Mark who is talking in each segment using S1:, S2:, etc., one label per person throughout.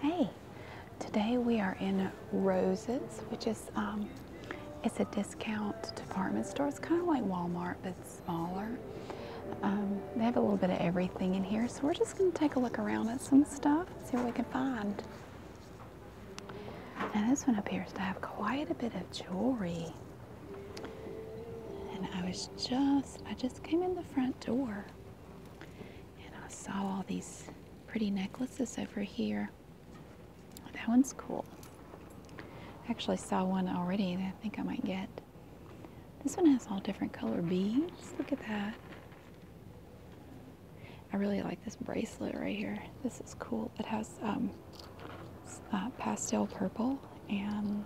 S1: Hey, today we are in Roses, which is um, it's a discount department store. It's kind of like Walmart, but smaller. Um, they have a little bit of everything in here, so we're just going to take a look around at some stuff, see what we can find. Now, this one appears to have quite a bit of jewelry. And I was just, I just came in the front door. And I saw all these pretty necklaces over here. that one's cool. I actually saw one already that I think I might get. This one has all different color beads. Look at that. I really like this bracelet right here. This is cool. It has um, uh, pastel purple and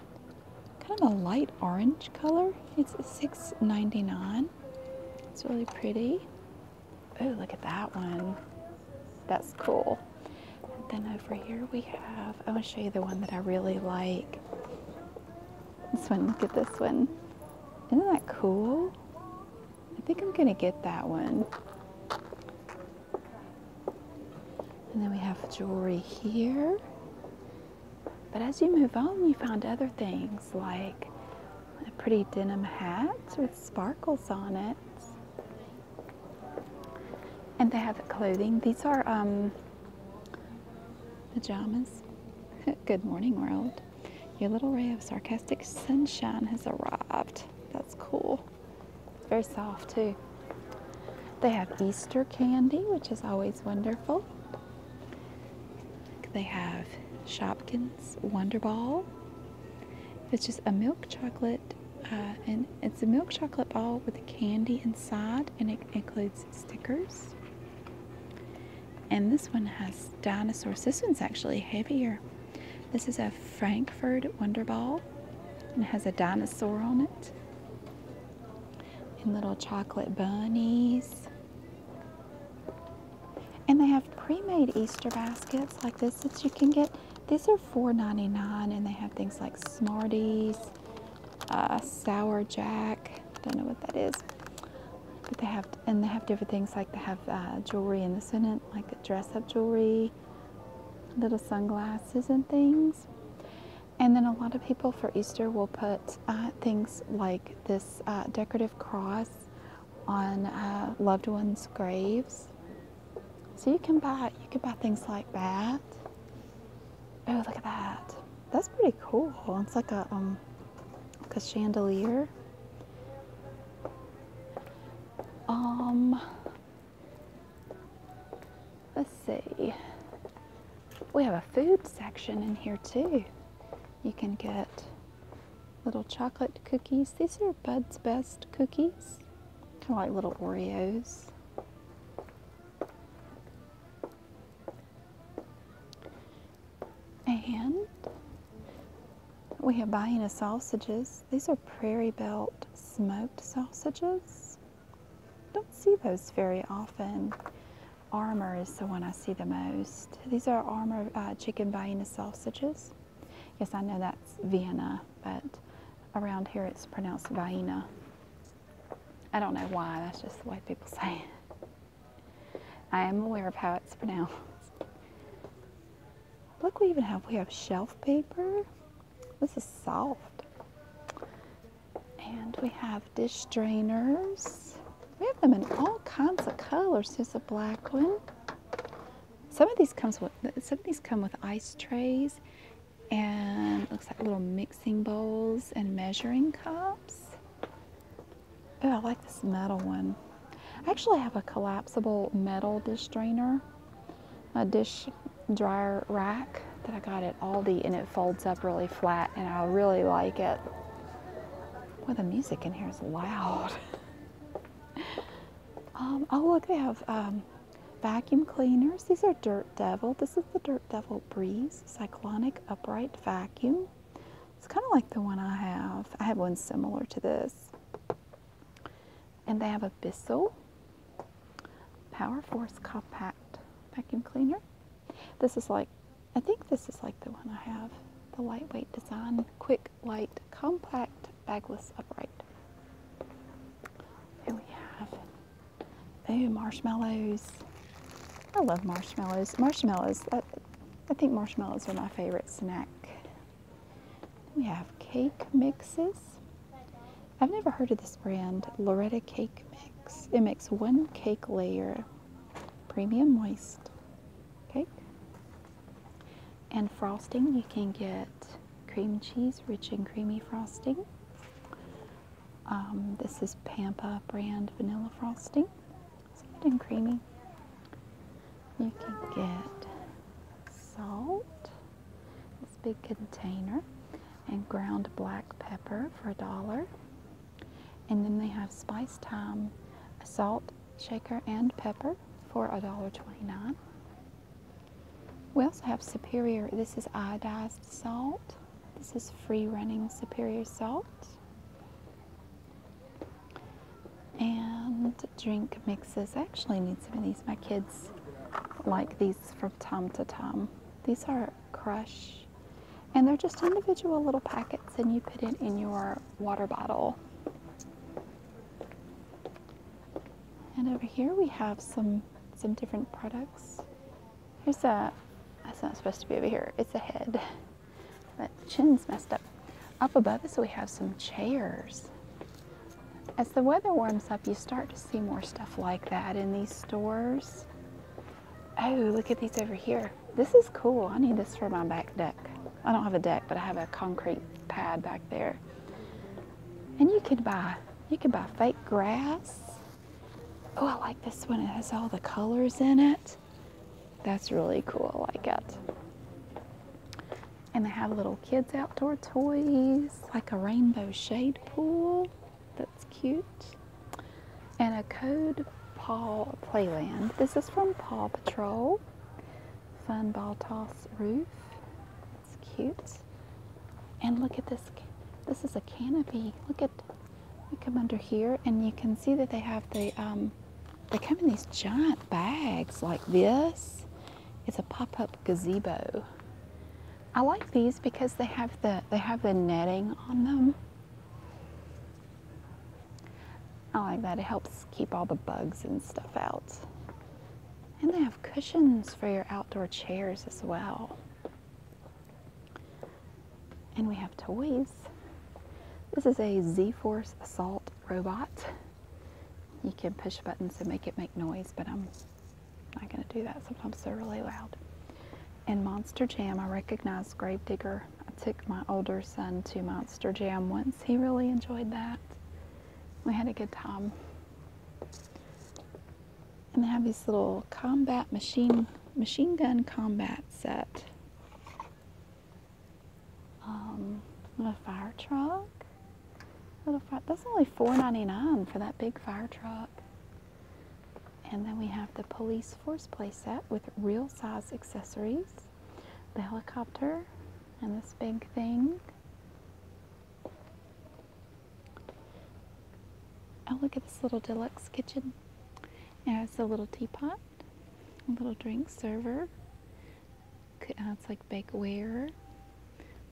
S1: kind of a light orange color. It's $6.99. It's really pretty. Oh, look at that one. That's cool. And then over here we have, I want to show you the one that I really like. This one, look at this one. Isn't that cool? I think I'm going to get that one. And then we have jewelry here. But as you move on, you find other things like a pretty denim hat with sparkles on it. And they have clothing. These are um, pajamas. Good morning, world. Your little ray of sarcastic sunshine has arrived. That's cool. very soft, too. They have Easter candy, which is always wonderful. They have Shopkins Wonder Ball. It's just a milk chocolate, uh, and it's a milk chocolate ball with a candy inside, and it includes stickers. And this one has dinosaurs. This one's actually heavier. This is a Frankfurt Wonder Ball and it has a dinosaur on it and little chocolate bunnies. And they have pre-made Easter baskets like this that you can get. These are $4.99 and they have things like Smarties, uh, Sour Jack, I don't know what that is. But they have, and they have different things like they have uh, jewelry in the in like dress up jewelry, little sunglasses and things. And then a lot of people for Easter will put uh, things like this uh, decorative cross on uh, loved ones' graves. So you can buy you can buy things like that. Oh, look at that! That's pretty cool. It's like a um, a chandelier. Um, Let's see. We have a food section in here too. You can get little chocolate cookies. These are Bud's Best cookies, kind of like little Oreos. And we have Bahina sausages. These are Prairie Belt smoked sausages don't see those very often. Armor is the one I see the most. These are armor uh, chicken Vienna sausages. Yes, I know that's Vienna, but around here it's pronounced Vienna. I don't know why, that's just the way people say it. I am aware of how it's pronounced. Look, we even have, we have shelf paper. This is soft. And we have dish drainers. We have them in all kinds of colors. There's a black one. Some of these come with some of these come with ice trays and looks like little mixing bowls and measuring cups. Oh, I like this metal one. I actually have a collapsible metal dish drainer, a dish dryer rack that I got at Aldi and it folds up really flat and I really like it. Well, the music in here is loud. Um, oh, look, they have um, vacuum cleaners. These are Dirt Devil. This is the Dirt Devil Breeze Cyclonic Upright Vacuum. It's kind of like the one I have. I have one similar to this. And they have a Bissell Power Force Compact Vacuum Cleaner. This is like, I think this is like the one I have, the lightweight design, quick, light, compact, bagless, upright. Here we have, oh, marshmallows. I love marshmallows. Marshmallows, I think marshmallows are my favorite snack. We have cake mixes. I've never heard of this brand, Loretta Cake Mix. It makes one cake layer, premium moist cake. And frosting, you can get cream cheese, rich and creamy frosting. Um, this is Pampa brand vanilla frosting, soft and creamy. You can get salt, this big container and ground black pepper for a dollar. And then they have spice thyme, salt, shaker, and pepper for $1.29. We also have Superior. This is iodized salt. This is free running Superior salt. And drink mixes. I actually need some of these. My kids like these from time to time. These are Crush and they're just individual little packets, and you put it in your water bottle. And over here we have some some different products. Here's a that's not supposed to be over here. It's a head. That chin's messed up. Up above us we have some chairs. As the weather warms up, you start to see more stuff like that in these stores. Oh, look at these over here. This is cool. I need this for my back deck. I don't have a deck, but I have a concrete pad back there. And you could buy, you could buy fake grass. Oh, I like this one. It has all the colors in it. That's really cool. I like it. And they have little kids outdoor toys, like a rainbow shade pool. That's cute. And a code Paw Playland. This is from Paw Patrol. Fun ball toss roof. It's cute. And look at this. This is a canopy. Look at. We come under here, and you can see that they have the. Um, they come in these giant bags like this. It's a pop-up gazebo. I like these because they have the they have the netting on them. I like that. It helps keep all the bugs and stuff out. And they have cushions for your outdoor chairs as well. And we have toys. This is a Z-Force Assault robot. You can push buttons and make it make noise, but I'm I'm not going to do that. Sometimes they're really loud. In Monster Jam, I recognized Gravedigger. I took my older son to Monster Jam once. He really enjoyed that. We had a good time. And they have these little combat machine machine gun combat set. Um, a fire truck. Little fire, that's only $4.99 for that big fire truck. And then we have the police force playset with real size accessories, the helicopter, and this big thing. Oh, look at this little deluxe kitchen. It has a little teapot, a little drink server. Uh, it's like bakeware,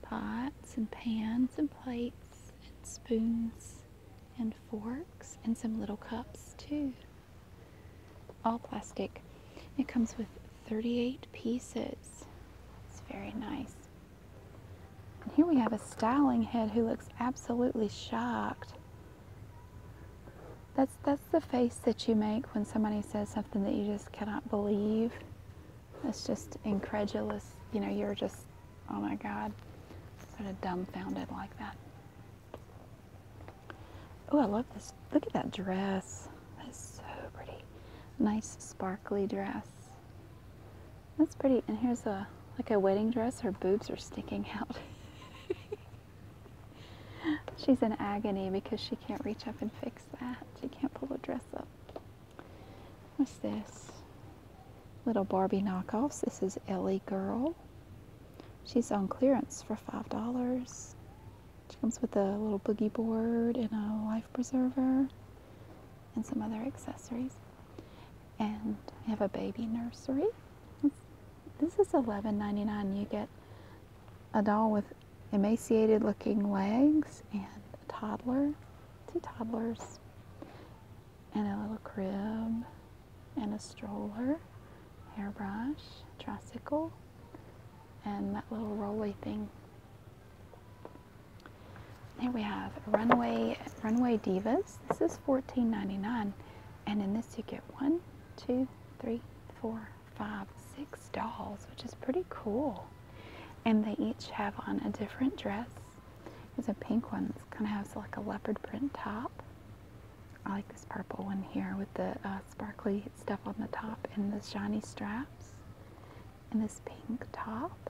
S1: pots and pans and plates and spoons and forks and some little cups too. All plastic. It comes with 38 pieces. It's very nice. And here we have a styling head who looks absolutely shocked. That's, that's the face that you make when somebody says something that you just cannot believe. That's just incredulous. You know, you're just, oh my God, sort of dumbfounded like that. Oh, I love this. Look at that dress. That's so pretty. Nice sparkly dress. That's pretty. And here's a like a wedding dress. Her boobs are sticking out. She's in agony because she can't reach up and fix that. She can't pull the dress up. What's this? Little Barbie knockoffs. This is Ellie Girl. She's on clearance for $5. She comes with a little boogie board and a life preserver and some other accessories. And I have a baby nursery. This is $11.99. You get a doll with emaciated looking legs and a toddler, two toddlers and a little crib and a stroller, hairbrush, tricycle, and that little rolly thing. Here we have Runway Runway Divas. This is fourteen ninety nine, And in this you get one, two, three, four, five, six dolls, which is pretty cool. And they each have on a different dress there's a pink one. It's kind of has like a leopard print top. I like this purple one here with the uh, sparkly stuff on the top and the shiny straps. And this pink top.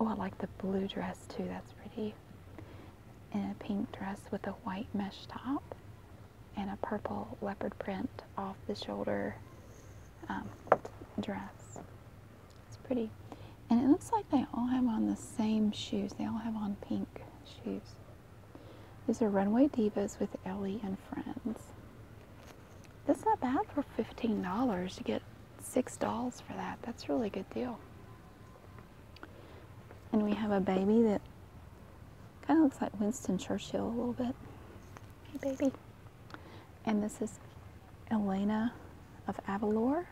S1: Oh, I like the blue dress too. That's pretty. And a pink dress with a white mesh top. And a purple leopard print off the shoulder um, dress. It's pretty. And it looks like they all have on the same shoes. They all have on pink shoes. These are Runway Divas with Ellie and friends. That's not bad for $15 to get six dolls for that. That's a really good deal. And we have a baby that kind of looks like Winston Churchill a little bit. Hey, baby. And this is Elena of Avalor.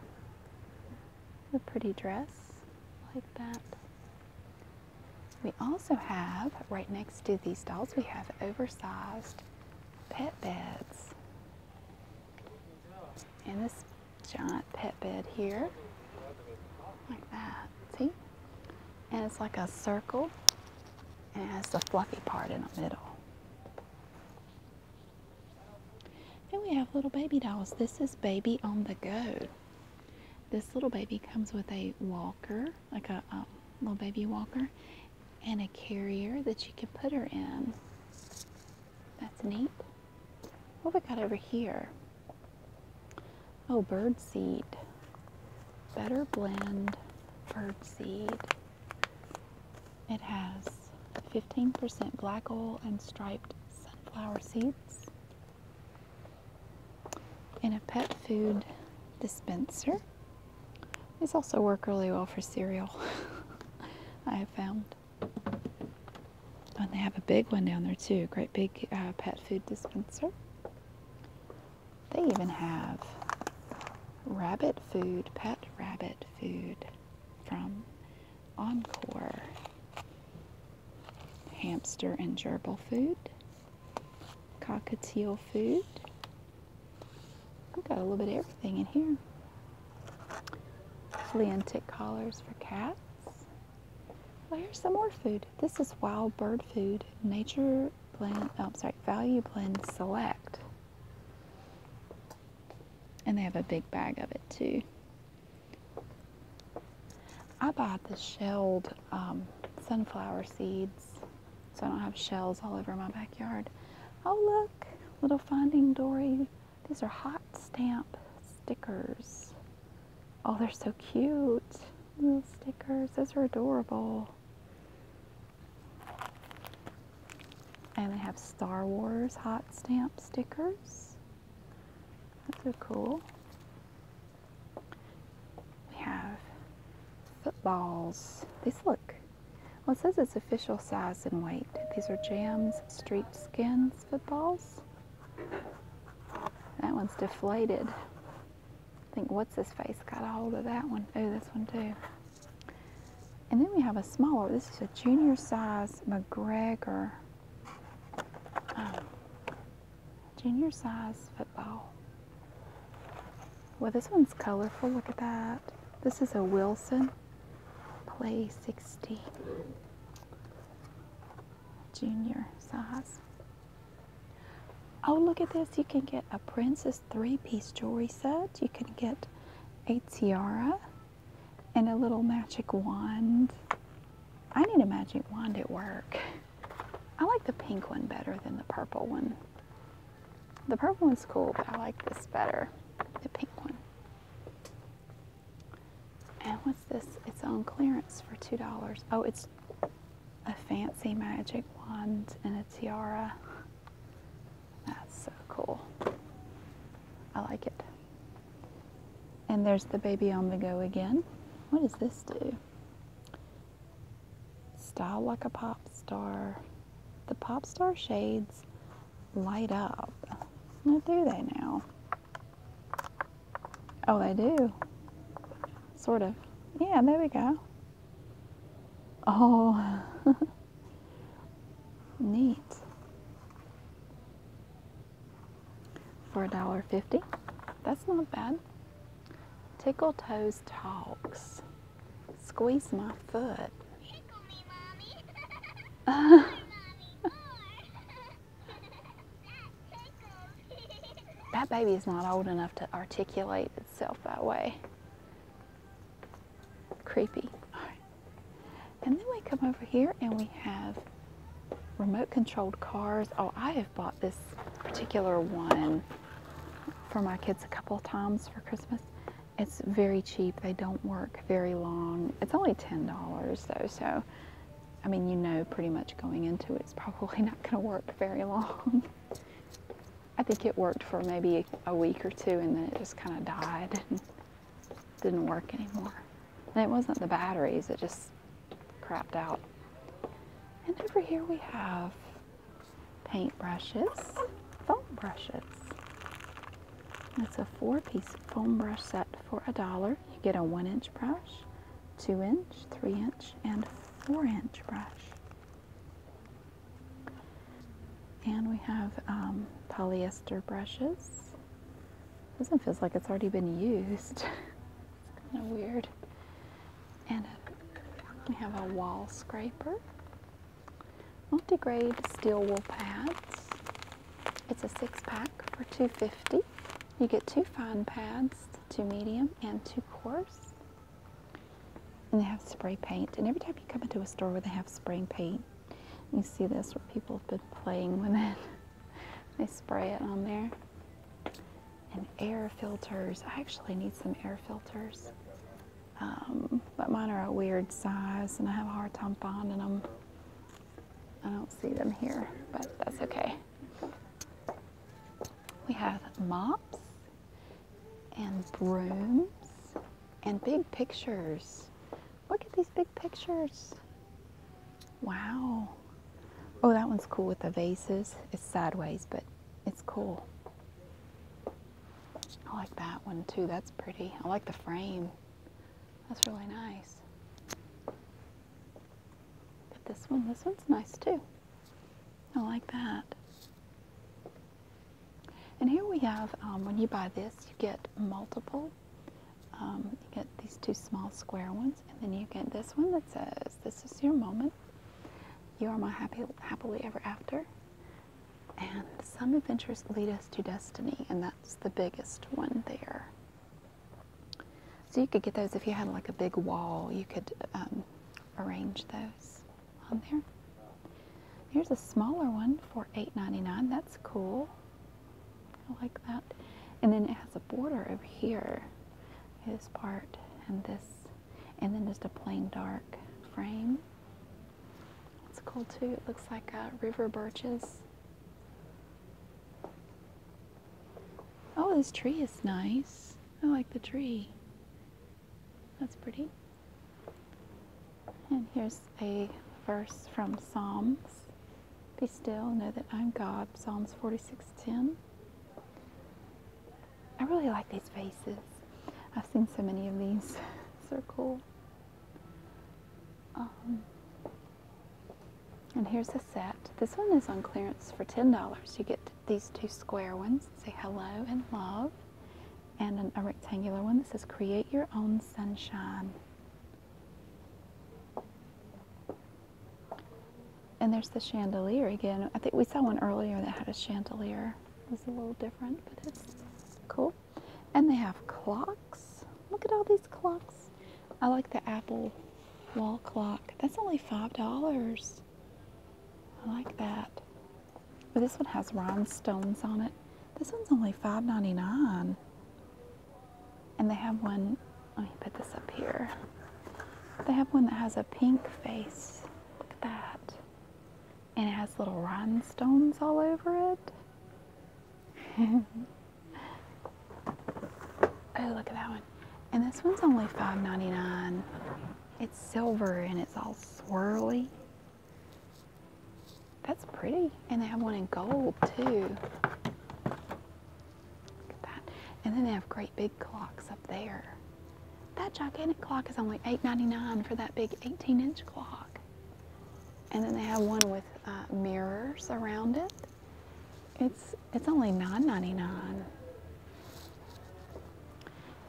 S1: A pretty dress like that. We also have, right next to these dolls, we have oversized pet beds. And this giant pet bed here, like that, see? And it's like a circle, and it has the fluffy part in the middle. Then we have little baby dolls. This is Baby on the Go. This little baby comes with a walker, like a um, little baby walker, and a carrier that you can put her in. That's neat. What we got over here? Oh, bird seed. Better blend bird seed. It has 15% black oil and striped sunflower seeds, in a pet food dispenser. These also work really well for cereal, I have found. And they have a big one down there too, great big uh, pet food dispenser. They even have rabbit food, pet rabbit food from Encore. Hamster and gerbil food, cockatiel food. I've got a little bit of everything in here. Flea and tick collars for cats. Well, here's some more food. This is wild bird food, nature blend, oh, I'm sorry, value blend select. And they have a big bag of it too. I buy the shelled um, sunflower seeds so I don't have shells all over my backyard. Oh, look, little Finding Dory. These are hot stamp stickers. Oh, they're so cute. Little stickers. Those are adorable. And they have Star Wars hot stamp stickers. That's so cool. We have footballs. These look, well, it says it's official size and weight. These are Jams Street Skins footballs. That one's deflated. I think what's his face got a hold of that one. Oh, this one too. And then we have a smaller, this is a junior size McGregor. Um, junior size football. Well, this one's colorful. Look at that. This is a Wilson Play 60. Junior size. Oh, look at this. You can get a princess three piece jewelry set. You can get a tiara and a little magic wand. I need a magic wand at work. I like the pink one better than the purple one. The purple one's cool, but I like this better. The pink one. And what's this? It's on clearance for $2. Oh, it's a fancy magic wand and a tiara. That's so cool. I like it. And there's the baby on the go again. What does this do? Style like a pop star. The pop star shades light up. do they now? Oh, they do. Sort of. Yeah, there we go. Oh. Neat. For $1.50. That's not bad. Tickle Toes Talks. Squeeze my foot. that baby is not old enough to articulate itself that way creepy. And then we come over here and we have remote controlled cars. Oh, I have bought this particular one for my kids a couple of times for Christmas. It's very cheap. They don't work very long. It's only $10 though, so I mean, you know pretty much going into it, it's probably not going to work very long. I think it worked for maybe a week or two and then it just kind of died and didn't work anymore. it wasn't the batteries, it just crapped out. And over here we have paint brushes, foam brushes. It's a four piece foam brush set for a dollar. You get a one inch brush, two inch, three inch, and four inch brush. And we have um, polyester brushes. This one feels like it's already been used. it's kind of weird. And we have a wall scraper. Multi-grade steel wool pads. It's a six pack for 250. You get two fine pads, two medium and two coarse. And they have spray paint. And every time you come into a store where they have spray paint, you see this where people have been playing with it. they spray it on there. And air filters. I actually need some air filters. Um, but mine are a weird size and I have a hard time finding them. I don't see them here, but that's okay. We have mops and brooms and big pictures. Look at these big pictures. Wow. Oh, that one's cool with the vases. It's sideways, but it's cool. I like that one too. That's pretty. I like the frame. That's really nice. But this one, this one's nice too. I like that. And here we have, um, when you buy this, you get multiple. Um, you get these two small square ones, and then you get this one that says, "This is your moment. You are my happy, happily ever after." And some adventures lead us to destiny, and that's the biggest one there. So you could get those if you had like a big wall. You could um, arrange those on there. Here's a smaller one for $8.99. That's cool. I like that. And then it has a border over here. This part and this. And then just a plain dark frame. It's cool too. It looks like a uh, river birches. Oh, this tree is nice. I like the tree. That's pretty. And here's a verse from Psalms. Be still, know that I'm God. Psalms 46:10. I really like these faces. I've seen so many of these. circle. Um, and here's a set. This one is on clearance for $10. You get these two square ones. Say hello and love and a rectangular one that says create your own sunshine. And there's the chandelier again. I think we saw one earlier that had a chandelier. It was a little different, but it's cool. And they have clocks. Look at all these clocks. I like the Apple wall clock. That's only $5. I like that. But this one has rhinestones on it. This one's only $5.99. And they have one, let me put this up here. They have one that has a pink face. Look at that. And it has little rhinestones all over it. oh, look at that one. And this one's only $5.99. It's silver and it's all swirly. That's pretty. And they have one in gold too. Look at that. And then they have great big clocks up there. That gigantic clock is only $8.99 for that big 18 inch clock. And then they have one with uh, mirrors around it. It's, it's only $9.99.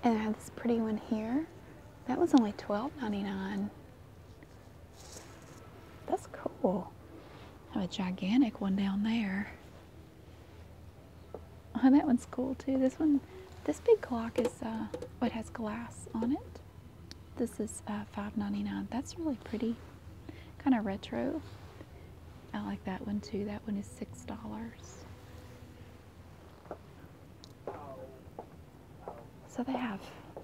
S1: And I have this pretty one here. That was only $12.99. That's cool. I have a gigantic one down there. Oh, that one's cool too. This one, this big clock is, uh, oh, it has glass on it. This is uh, $5.99. That's really pretty. Kind of retro. I like that one too. That one is $6. So they have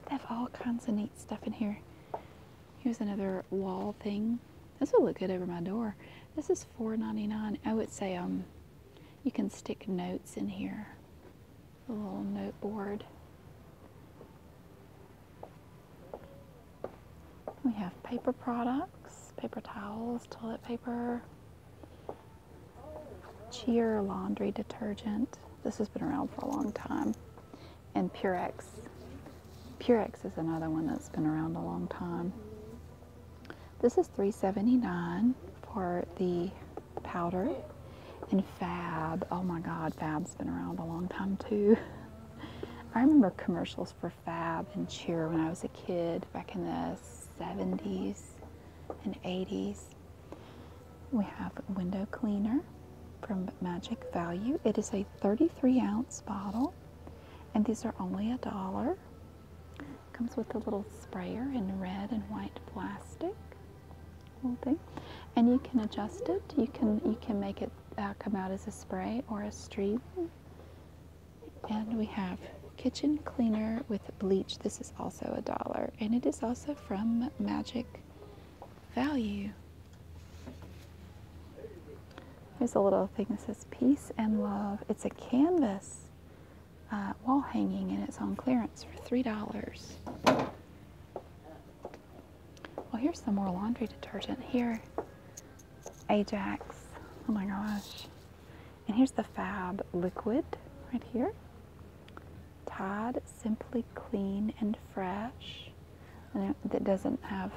S1: they have all kinds of neat stuff in here. Here's another wall thing. This will look good over my door. This is $4.99. I would say um you can stick notes in here. A little note board. We have paper products, paper towels, toilet paper, Cheer laundry detergent. This has been around for a long time. And Purex. Purex is another one that's been around a long time. This is 3.79 for the powder. And Fab, oh my God, Fab's been around a long time too. I remember commercials for fab and cheer when I was a kid back in the 70s and 80s. We have window cleaner from Magic Value. It is a 33 ounce bottle, and these are only a dollar. Comes with a little sprayer in red and white plastic. Little thing, and you can adjust it. You can you can make it uh, come out as a spray or a stream. And we have kitchen cleaner with bleach. This is also a dollar, and it is also from Magic Value. Here's a little thing that says Peace and Love. It's a canvas uh, wall hanging, and it's on clearance for $3. Well, here's some more laundry detergent here. Ajax. Oh my gosh. And here's the Fab liquid right here. Todd Simply Clean and Fresh. And it, doesn't have,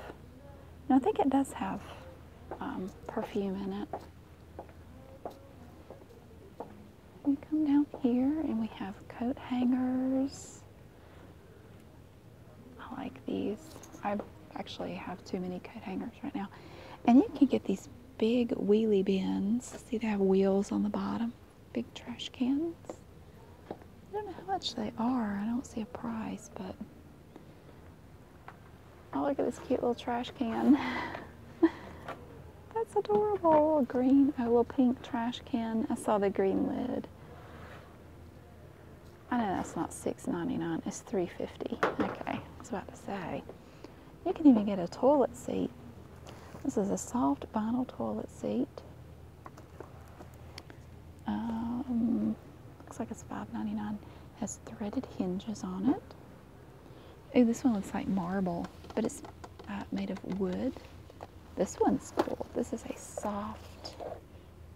S1: no, I think it does have um, perfume in it. We come down here and we have coat hangers. I like these. I actually have too many coat hangers right now. And you can get these big wheelie bins. See, they have wheels on the bottom. Big trash cans. I don't know how much they are. I don't see a price, but. Oh, look at this cute little trash can. That's adorable. Green, a oh, little pink trash can. I saw the green lid. I know that's not $6.99, it's $3.50. Okay, I was about to say. You can even get a toilet seat. This is a soft vinyl toilet seat. Um, looks like it's $5.99. Has threaded hinges on it. Ooh, this one looks like marble, but it's uh, made of wood. This one's cool. This is a soft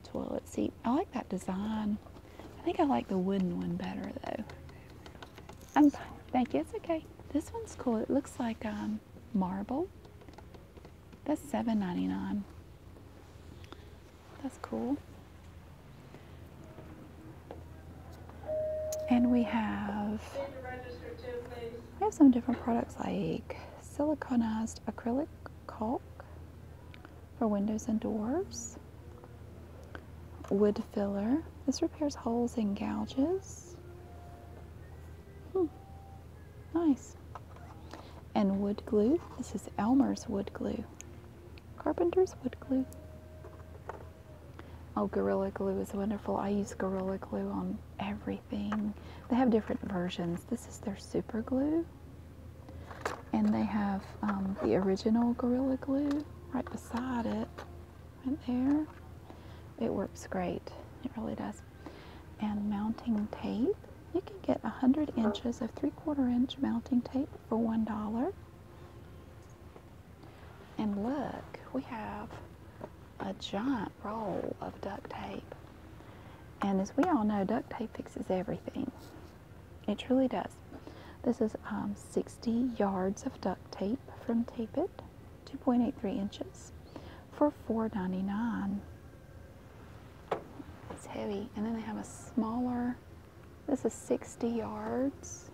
S1: toilet seat. I like that design. I think I like the wooden one better though. I'm thank you. It's okay. This one's cool. It looks like um, marble. That's $7.99. That's cool. And we have we have some different products like siliconized acrylic caulk, for windows and doors. Wood filler. This repairs holes and gouges. Hmm. Nice. And wood glue. This is Elmer's wood glue. Carpenter's wood glue. Oh, Gorilla Glue is wonderful. I use Gorilla Glue on everything. They have different versions. This is their super glue. And they have um, the original Gorilla Glue right beside it, right there. It works great, it really does. And mounting tape. You can get 100 inches of 3 4 inch mounting tape for $1. And look, we have a giant roll of duct tape. And as we all know, duct tape fixes everything. It truly does. This is um, 60 yards of duct tape from Tape It, 2.83 inches, for $4.99. It's heavy. And then they have a smaller, this is 60 yards.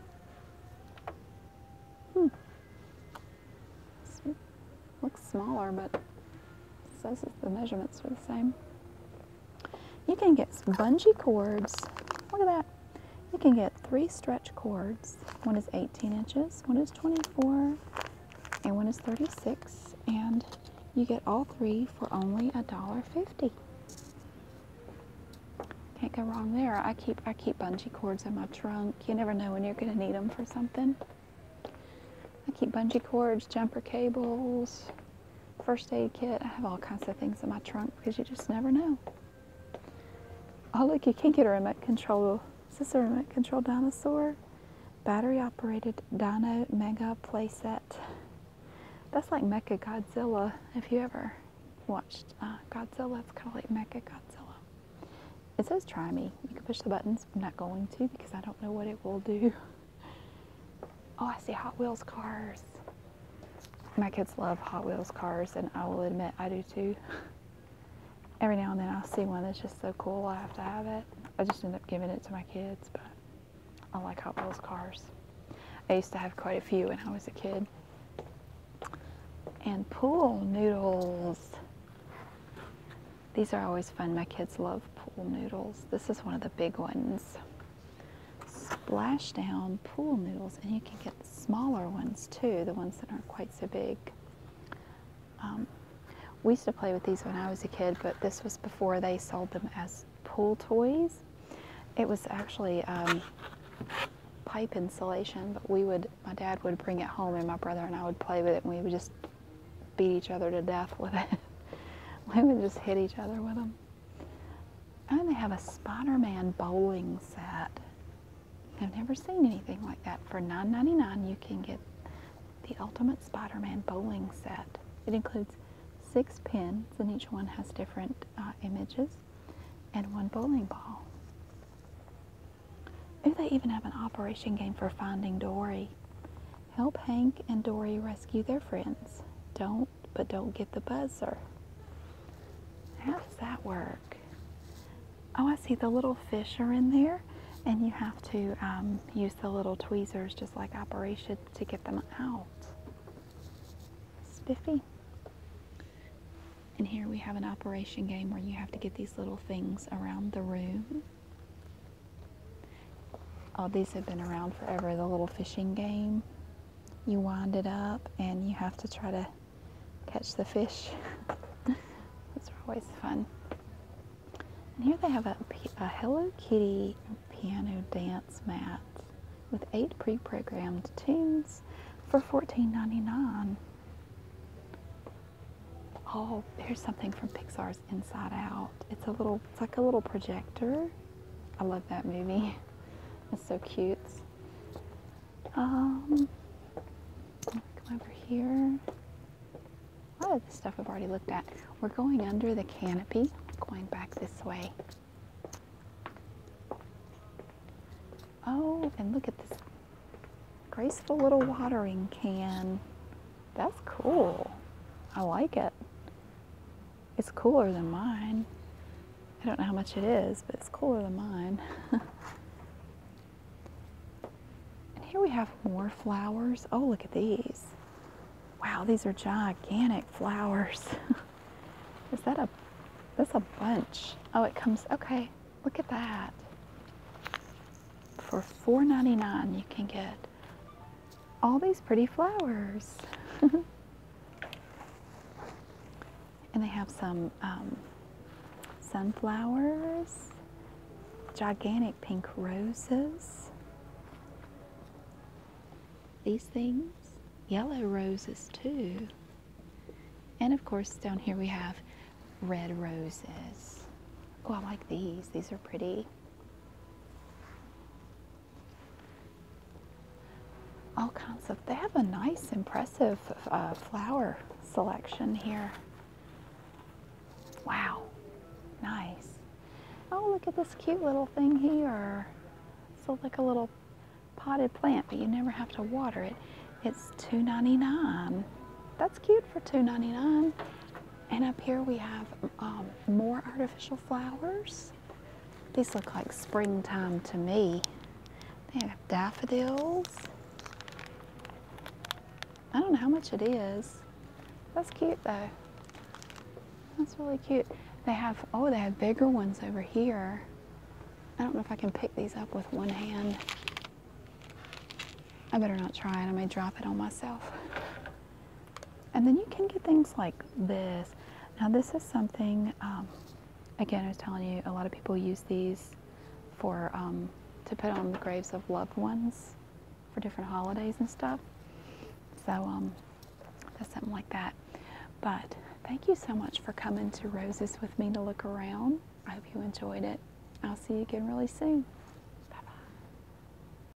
S1: Hmm. Looks smaller, but says the measurements are the same. You can get bungee cords. Look at that. You can get three stretch cords. One is 18 inches, one is 24, and one is 36. And you get all three for only $1.50. Can't go wrong there. I keep I keep bungee cords in my trunk. You never know when you're going to need them for something. I keep bungee cords, jumper cables, first aid kit. I have all kinds of things in my trunk because you just never know. Oh, look, you can get a remote control. Is this a remote control dinosaur? Battery operated Dino Mega playset. That's like Mecha Godzilla. If you ever watched uh, Godzilla, it's kind of like Mecha Godzilla. It says try me. You can push the buttons. I'm not going to because I don't know what it will do. Oh, I see Hot Wheels cars. My kids love Hot Wheels cars, and I will admit I do too. Every now and then i see one that's just so cool I have to have it. I just end up giving it to my kids, but I like Hot Wheels cars. I used to have quite a few when I was a kid. And pool noodles. These are always fun. My kids love pool noodles. This is one of the big ones splashdown pool noodles, and you can get smaller ones too, the ones that aren't quite so big. Um, we used to play with these when I was a kid, but this was before they sold them as pool toys. It was actually um, pipe insulation, but we would, my dad would bring it home, and my brother and I would play with it, and we would just beat each other to death with it. we would just hit each other with them. Oh, and they have a Spider-Man bowling set. I've never seen anything like that. For $9.99, you can get the Ultimate Spider-Man bowling set. It includes six pins, and each one has different uh, images, and one bowling ball. Do they even have an operation game for Finding Dory. Help Hank and Dory rescue their friends. Don't but don't get the buzzer. How does that work? Oh, I see the little fish are in there, and you have to um, use the little tweezers, just like Operation, to get them out. Spiffy. And here we have an operation game where you have to get these little things around the room. All these have been around forever. The little fishing game. You wind it up and you have to try to catch the fish. Those are always fun. And here they have a, Hello Kitty piano dance mat with eight pre-programmed tunes for $14.99. Oh, here's something from Pixar inside out. It's a little, it's like a little projector. I love that movie. It's so cute. Um, come over here. A lot of the stuff we have already looked at. We're going under the canopy, going back this way. Oh, and look at this graceful little watering can. That's cool. I like it. It's cooler than mine. I don't know how much it is, but it's cooler than mine. and here we have more flowers. Oh, look at these. Wow, these are gigantic flowers. is that a, that's a bunch. Oh, it comes, okay, look at that. For $4.99 you can get all these pretty flowers. and they have some um, sunflowers, gigantic pink roses, these things, yellow roses too. And of course, down here we have red roses. Oh, I like these. These are pretty all kinds of, they have a nice, impressive uh, flower selection here. Wow, nice. Oh, look at this cute little thing here. So like a little potted plant, but you never have to water it. It's two ninety nine. That's cute for two ninety nine. And up here we have um, more artificial flowers. These look like springtime to me. They have daffodils. I don't know how much it is. That's cute though. That's really cute. They have, oh, they have bigger ones over here. I don't know if I can pick these up with one hand. I better not try it. I may drop it on myself. And then you can get things like this. Now, this is something, um, again, I was telling you, a lot of people use these for um, to put on the graves of loved ones for different holidays and stuff. So, um, that's something like that. But thank you so much for coming to Roses with me to look around. I hope you enjoyed it. I'll see you again really soon.